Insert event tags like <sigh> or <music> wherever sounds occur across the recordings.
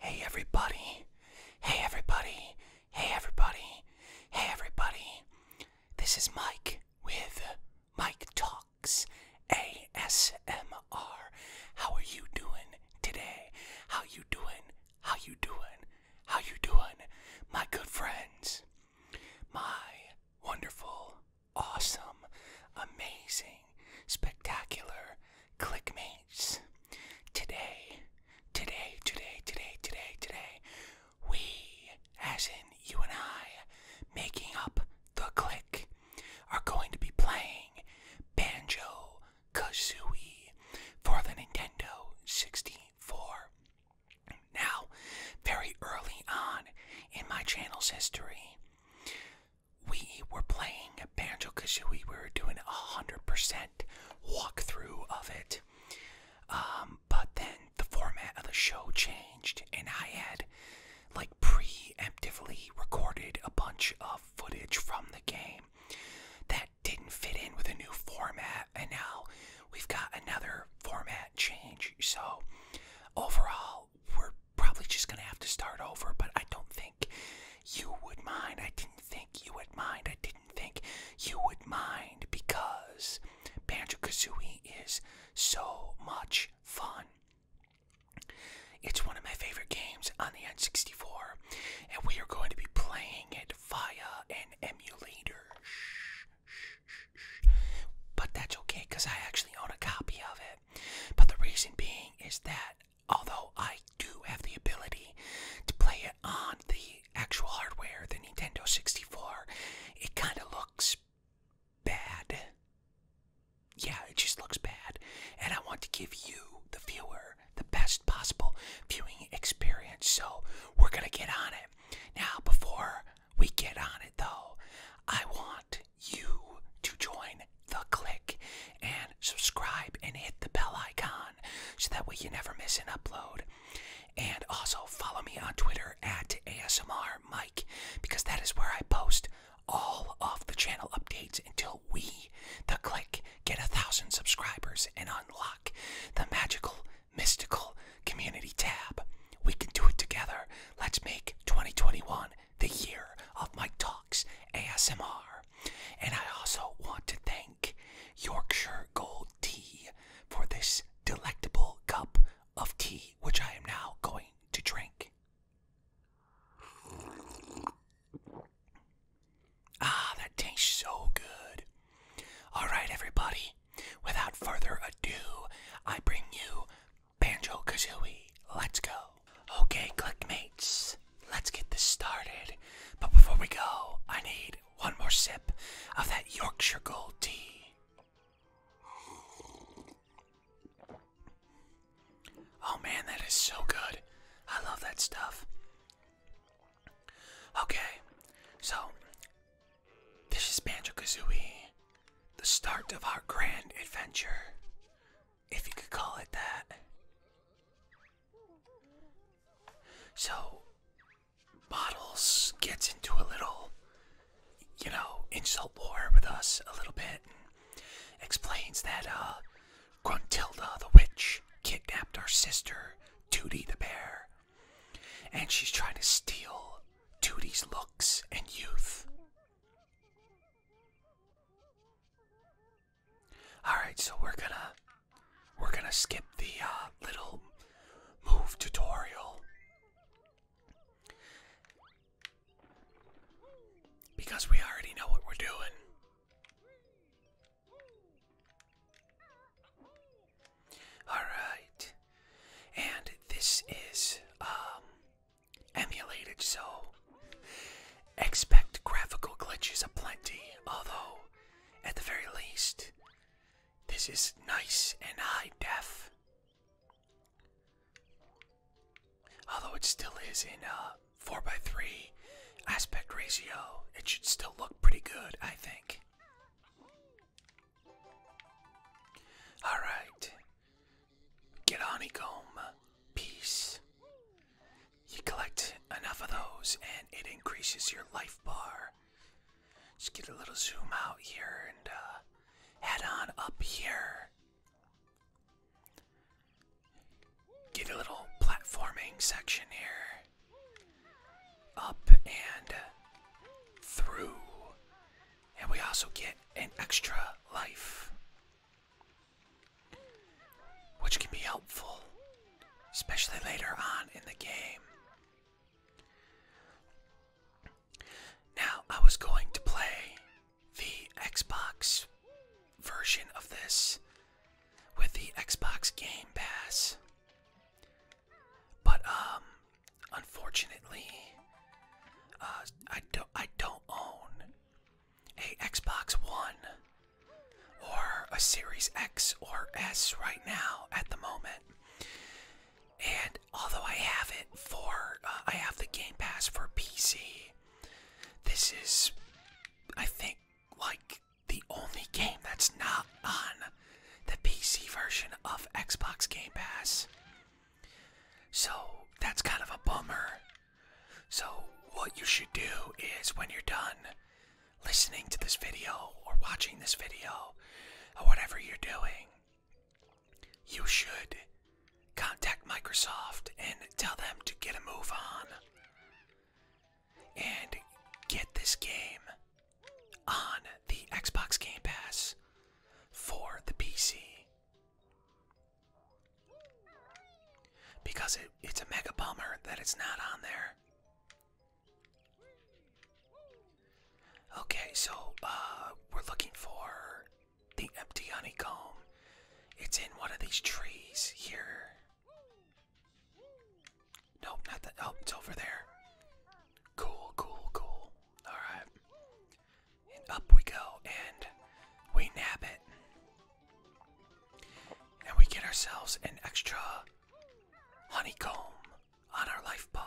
Hey everybody. Hey everybody. Hey everybody. Hey everybody. This is Mike with Mike Talk. ASMR. How are you doing today? How you doing? How you doing? How you doing? My good friends. My wonderful, awesome, amazing, spectacular clickmates. Today, today, today, today, today, today, we, as in you and I, making up the click are going to be playing Banjo Kazooie for the Nintendo 64. Now, very early on in my channel's history, we were playing Banjo Kazooie. We were doing a 100% walkthrough of it. Um, but then the format of the show changed, and I had like like preemptively recorded a bunch of footage from the game that didn't fit in with a new format, and now we've got another format change. So, overall, we're probably just gonna have to start over, but I don't think you would mind. I didn't think you would mind. I didn't think you would mind because Banjo Kazooie is so much fun. It's one of my favorite games on the N64, and we are going to be playing it via an emulator. But that's okay because I actually own a copy of it. But the reason being is that although I do have the ability to play it on the actual hardware, the Nintendo 64, it kind of looks bad. Yeah, it just looks bad. And I want to give you, the viewer, the best possible viewing experience. So we're going to get on it. Now, before we get on it, though, I want you to join the click and subscribe and hit the bell icon so that way you never miss an upload. And also follow me on Twitter at ASMR Mike because that is where I post all of the channel updates until we, the click, get a thousand subscribers and unlock the magical, mystical community tab. We can do it together. Let's make 2021 the year of my Talks ASMR. And I also want to thank Yorkshire Gold Tea for this delectable cup of tea, which I am now going to drink. Ah, that tastes so good. All right, everybody. Without further ado, I bring you Banjo Kazooie. Let's go. Okay, clickmates, let's get this started. But before we go, I need one more sip of that Yorkshire Gold tea. Oh man, that is so good. I love that stuff. Okay, so this is Banjo Kazooie, the start of our grand adventure, if you could call it that. So, Bottles gets into a little you know, insult war with us a little bit and explains that uh, Gruntilda the witch kidnapped our sister, Tootie the bear, and she's trying to steal Tootie's looks and youth. Alright, so we're gonna we're gonna skip the uh, little move tutorial because we already know what we're doing. Alright. And this is um, emulated, so expect graphical glitches aplenty, although at the very least, this is nice and high def. Although it still is in uh, 4x3 aspect ratio, it should still look pretty good, I think. Alright. Get honeycomb. Peace. You collect enough of those and it increases your life bar. Just get a little zoom out here and uh, Head on up here. Get a little platforming section here. Up and through. And we also get an extra life. Which can be helpful, especially later on in the game. Now, I was going to play the Xbox version of this with the Xbox Game Pass. But um unfortunately uh, I don't I don't own a Xbox One or a Series X or S right now at the moment. And although I have it for, uh, I have the Game Pass for PC, this is, I think, like the only game that's not on the PC version of Xbox Game Pass. So that's kind of a bummer. So, what you should do is when you're done listening to this video or watching this video or whatever you're doing, you should contact Microsoft and tell them to get a move on and get this game on the Xbox Game Pass for the PC. Because it's a mega bummer that it's not on there. Okay, so uh, we're looking for the empty honeycomb. It's in one of these trees here. Nope, not that. Oh, it's over there. Cool, cool, cool. Alright. up we go, and we nab it. And we get ourselves an extra honeycomb on our life bar.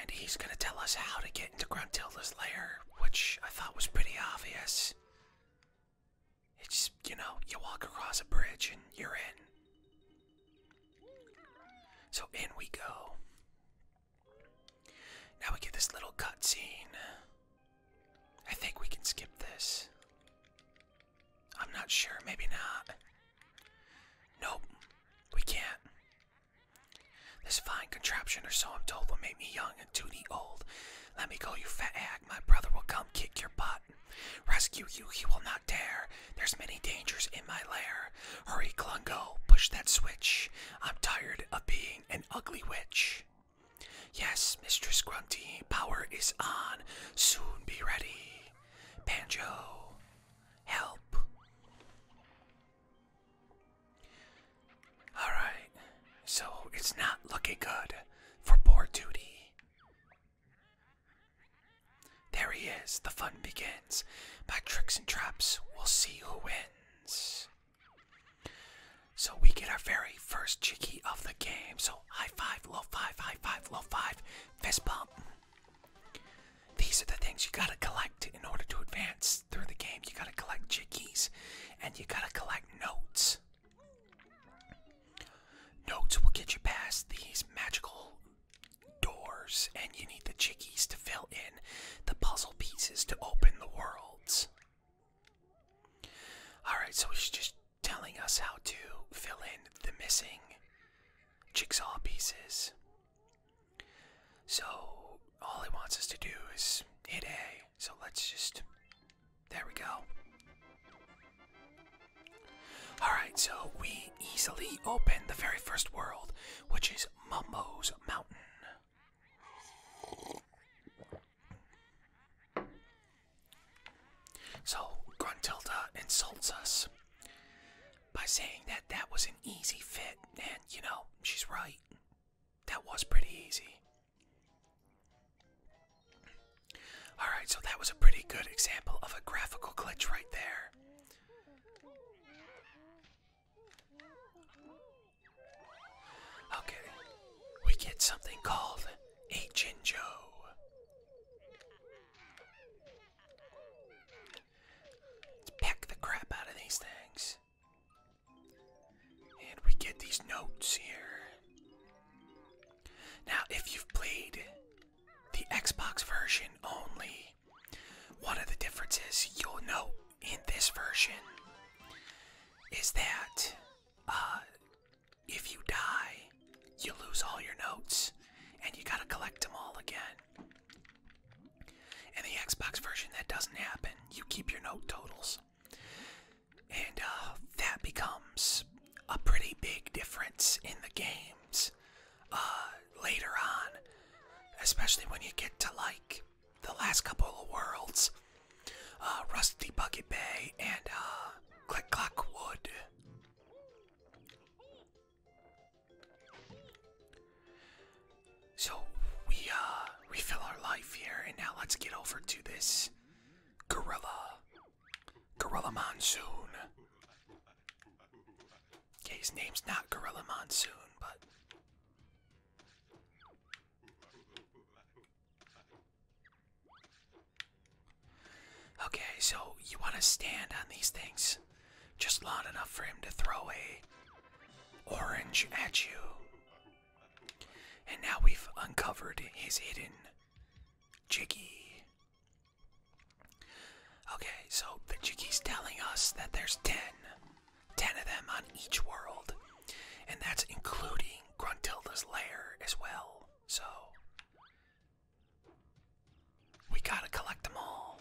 And he's gonna tell us how to get into Gruntilda's lair, which I thought was pretty obvious. It's, you know, you walk across a bridge and you're in. So in we go. Now we get this little cutscene. I think we can skip this. I'm not sure, maybe not. Nope, we can't. This fine contraption or so I'm told will make me young and duty old. Let me go, you fat hag. My brother will come kick your butt. Rescue you, he will not dare. There's many dangers in my lair. Hurry, Clungo, push that switch. I'm tired of being an ugly witch. Yes, Mistress Grunty, power is on. Soon be ready. Banjo, Help. Alright, so it's not looking good for board duty. There he is, the fun begins. By tricks and traps, we'll see who wins. So we get our very first cheeky of the game. So high five, low five, high five, low five, fist bump. These are the things you gotta collect in order to advance through the game. You gotta collect jiggies and you gotta collect notes. Notes will get you past these magical doors, and you need the jiggies to fill in the puzzle pieces to open the worlds. Alright, so he's just telling us how to fill in the missing jigsaw pieces. So all he wants us to do is hit A. So let's just. There we go. Alright, so we easily open the very first world, which is Mumbo's Mountain. So Gruntilda insults us by saying that that was an easy fit, and you know, she's right. That was pretty easy. Alright, so that was a pretty good example of a graphical glitch right there. Okay, we get something called a Jinjo. Let's pack the crap out of these things. And we get these notes here. Now, if you've played the Xbox version only, one of the differences you'll know in this version is that uh, if you die, you lose all your notes and you gotta collect them all again. In the Xbox version, that doesn't happen. You keep your note totals. And uh, that becomes a pretty big difference in the games uh, later on, especially when you get to like the last couple of worlds uh, Rusty Bucket Bay and Click Clock Wood. So we uh refill our life here and now let's get over to this gorilla. Gorilla Monsoon. Okay, his name's not Gorilla Monsoon, but Okay, so you want to stand on these things just long enough for him to throw a orange at you. And now we've uncovered his hidden jiggy. Okay, so the jiggy's telling us that there's ten, ten of them on each world. And that's including Gruntilda's lair as well. So we gotta collect them all.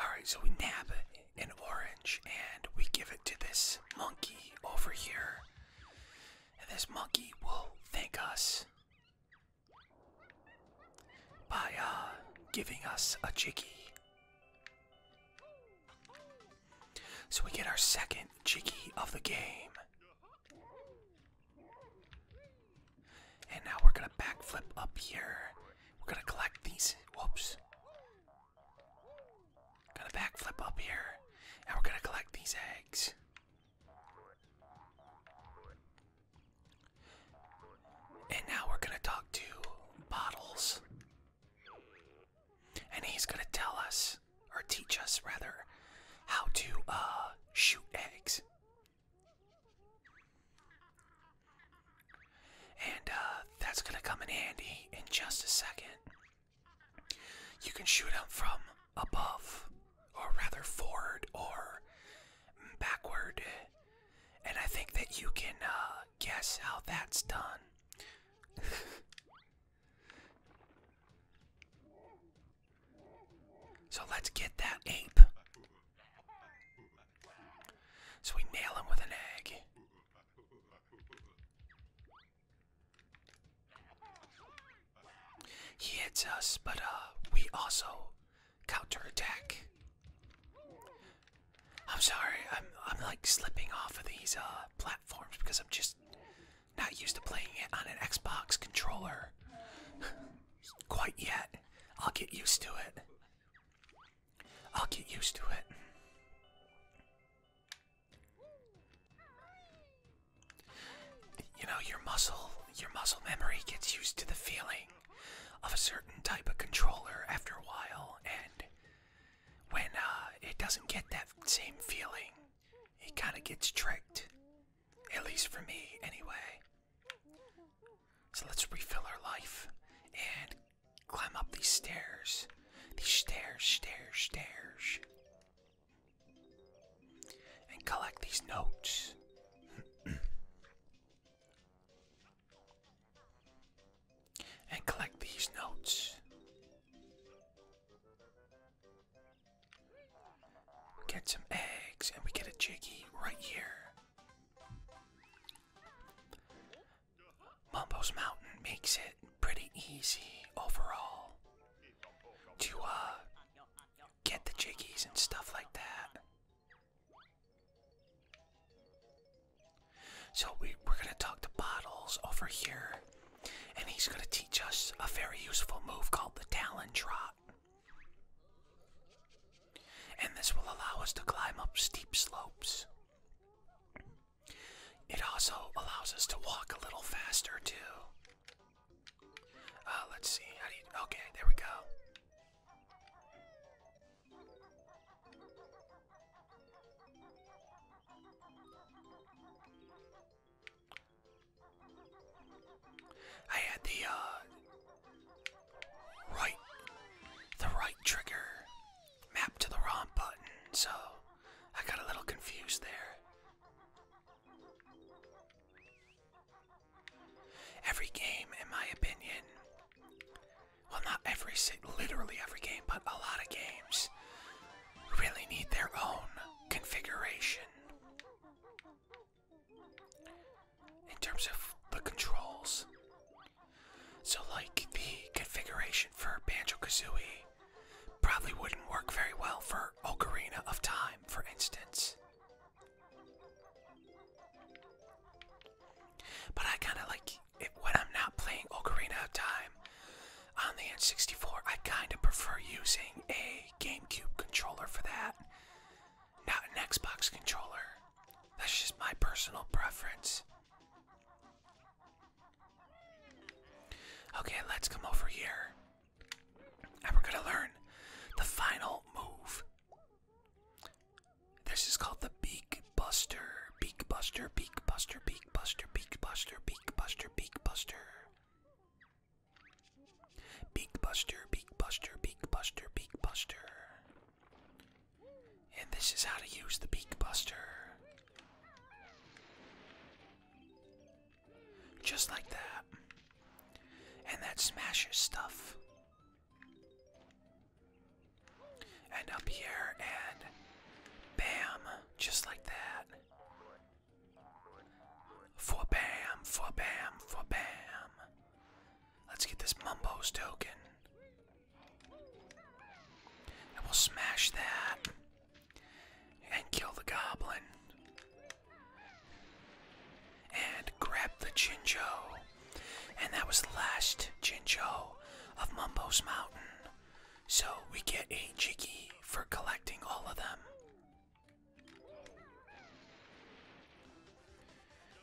Alright, so we nab an orange and we give it to this monkey over here. And this monkey will thank us by uh, giving us a jiggy. So we get our second jiggy of the game. And now we're gonna backflip up here. We're gonna collect these. Whoops. Gonna backflip up here. And we're gonna collect these eggs. And now we're gonna talk to Bottles. And he's gonna tell us or teach us rather, how to uh, shoot eggs. And uh, that's gonna come in handy in just a second. You can shoot them from above, or rather forward or backward. And I think that you can uh, guess how that's done. <laughs> So let's get that ape. So we nail him with an egg. He hits us, but uh, we also counterattack. I'm sorry, I'm I'm like slipping off of these uh platforms because I'm just not used to playing it on an Xbox controller <laughs> quite yet. I'll get used to it. I'll get used to it. You know, your muscle, your muscle memory gets used to the feeling of a certain type of controller after a while, and when uh, it doesn't get that same feeling, it kind of gets tricked. At least for me, anyway. So let's refill our life and climb up these stairs. These stairs, stairs, stairs. And collect these notes. <clears throat> and collect these notes. Get some eggs, and we get a jiggy right here. Mumbo's Mountain makes it pretty easy overall to uh, get the jiggies and stuff like that. So we, we're gonna talk to Bottles over here and he's going to teach us a very useful move called the Talon Trot. And this will allow us to climb up steep slopes. It also allows us to walk a little faster, too. Uh, let's see. How do you. Okay, there we go. I had the uh, right, the right trigger mapped to the wrong button, so I got a little confused there. Every game, in my opinion, well, not every, literally every game, but a lot of games really need their own configuration. In terms of the controls. So, like, the configuration for Banjo Kazooie probably wouldn't work very well for Ocarina of Time, for instance. But I kind of like it when I'm not playing Ocarina of Time. On the N64, I kind of prefer using a GameCube controller for that, not an Xbox controller. That's just my personal preference. Okay, let's come over here. And we're gonna learn the final move. This is called the Beak Buster. Beak Buster, Beak Buster, Beak Buster, Beak Buster, Beak Buster, Beak Buster. Beak Buster, Beak Buster, Beak Buster, Beak Buster. And this is how to use the Beak Buster. Just like that. And that smashes stuff. And up here, and bam, just like that. For bam, for bam, for bam. Let's get this Mumbo's token. And we'll smash that. And kill the goblin. And grab the Jinjo. And that was the last Jinjo of Mumbo's Mountain. So we get a jiggy for collecting all of them.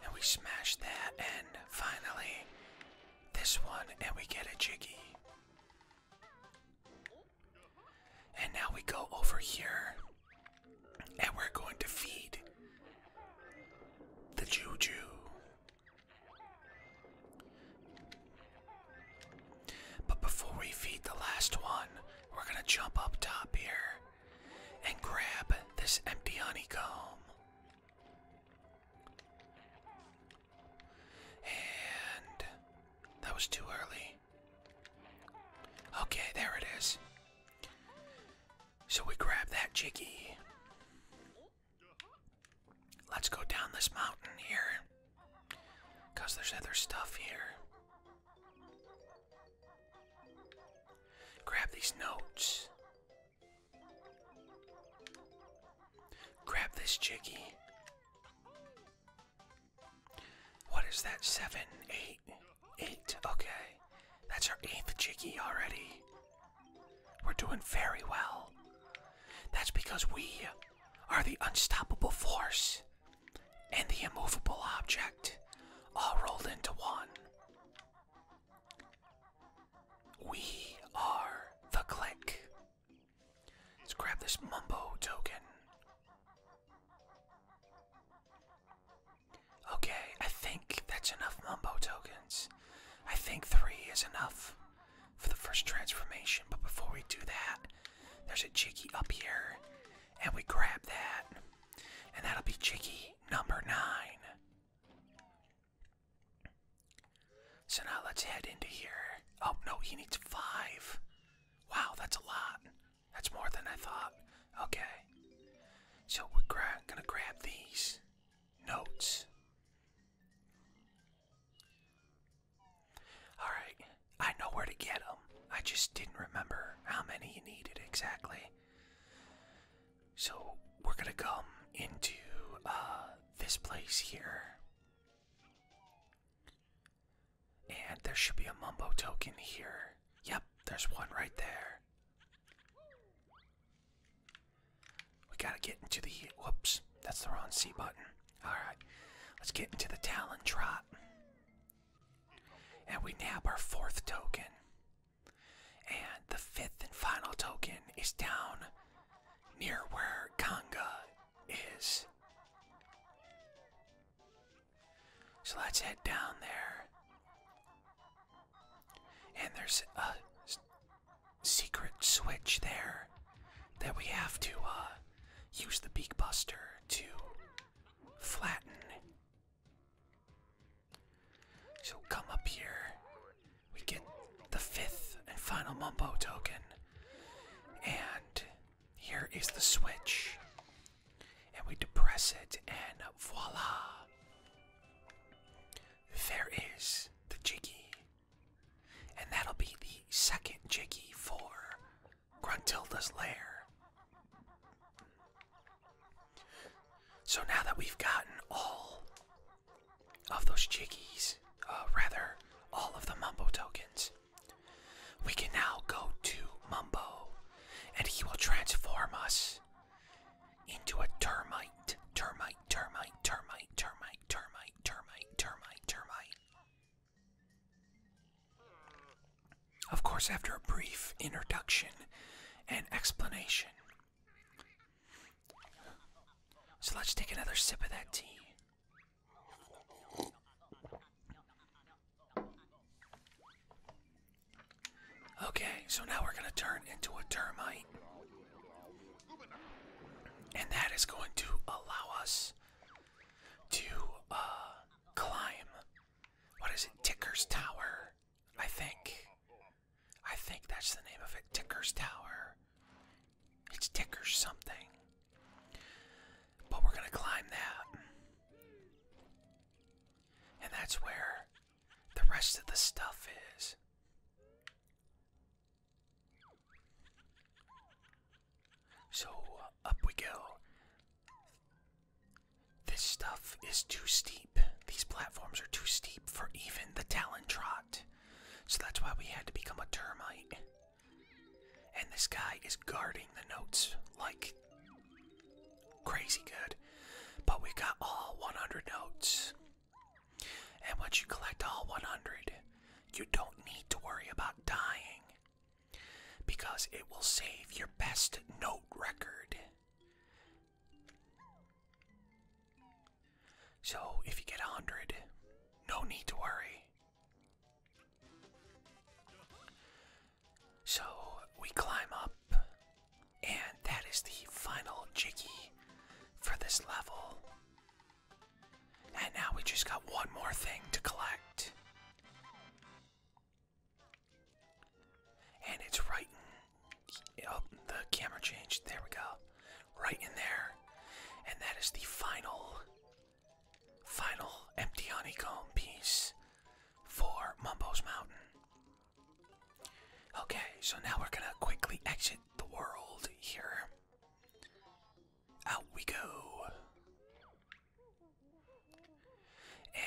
And we smash that, and finally, this one, and we get a jiggy. And now we go over here, and we're going to feed the juju. But before we feed the last one, we're gonna jump up top here and grab this empty honeycomb. And that was too early. Okay, there it is. So we grab that jiggy. Let's go down this mountain here. Because there's other stuff here. Grab these notes. Grab this jiggy. What is that? Seven, eight, eight. Okay. That's our eighth jiggy already. We're doing very well. That's because we are the unstoppable force and the immovable object all rolled into one. We are the click. Let's grab this mumbo token. Okay, I think that's enough mumbo tokens. I think three is enough for the first transformation. But before we do that, there's a Jiggy up here, and we grab that, and that'll be Jiggy number nine. So now let's head into here. Oh no, he needs five. Wow, that's a lot. That's more than I thought. Okay. So we're gonna grab these notes. Alright, I know where to get them. I just didn't remember how many you needed exactly. So, we're gonna come into uh, this place here. And there should be a mumbo token here. Yep, there's one right there. We gotta get into the. Whoops, that's the wrong C button. Alright, let's get into the Talon Trot. And we nab our fourth token. And the fifth and final token is down near where Kanga is. So let's head down there. And there's a secret switch there that we have to uh, use the beak buster to flatten. So come up here. We get the fifth and final Mumbo token. And here is the switch. And we depress it, and voila! There is the Jiggy. And that'll be the second jiggy for Gruntilda's Lair. So now that we've gotten all of those jiggies, uh, rather, all of the Mumbo tokens, we can now go to Mumbo and he will transform us into a termite, termite, termite, termite, termite, termite termite, termite, termite, Of course, after a brief introduction and explanation. So let's take another sip of that tea. Okay, so now we're going to turn into a termite. And that is going to allow us to uh, climb. What is it? Ticker's Tower, I think. I think that's the name of it. Ticker's Tower. It's Ticker something. But we're going to climb that. And that's where the rest of the stuff is. So uh, up we go. This stuff is too steep. These platforms are too steep for even the Talon Trot. So that's why we had to become a termite. And this guy is guarding the notes like crazy good. But we got all 100 notes. And once you collect all 100, you don't need to worry about dying because it will save your best note record. So if you get 100, no need to worry. So we climb up, and that is the final jiggy for this level. And now we just got one more thing to collect. And it's right in. Oh, the camera changed. There we go. Right in there. And that is the final, final empty honeycomb piece for Mumbo's Mountain. Okay, so now we're gonna quickly exit the world here. Out we go.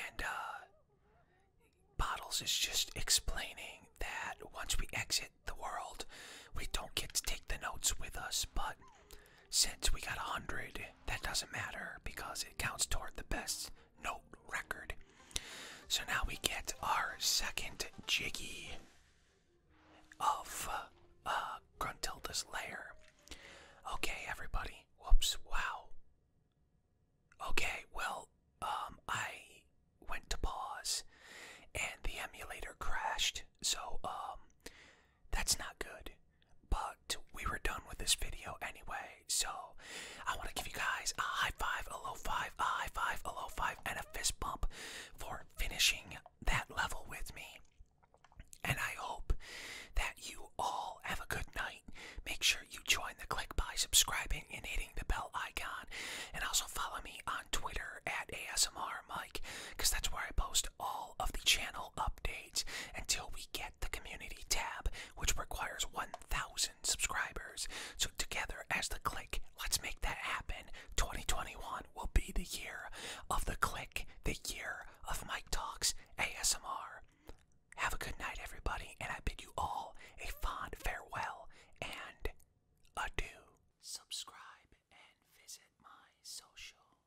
And uh, Bottles is just explaining that once we exit the world, we don't get to take the notes with us, but since we got 100, that doesn't matter because it counts toward the best note record. So now we get our second Jiggy of uh, Gruntilda's lair. Okay, everybody. Whoops, wow. Okay, well, um, I went to pause and the emulator crashed, so, um, that's not good. But we were done with this video anyway, so I want to give you guys a high five, a low five, a high five, a low five, and fist bump for finishing that level with me. And I hope that you all have a good night. Make sure you join the click by subscribing and hitting the bell icon. And also follow me on Twitter at ASMR Mike, because that's where I post all of the channel updates until we get the community tab, which requires 1,000 subscribers. So together as the click, Let's make that happen. 2021 will be the year of the click, the year of Mike Talks ASMR. Have a good night, everybody, and I bid you all a fond farewell and adieu. Subscribe and visit my social.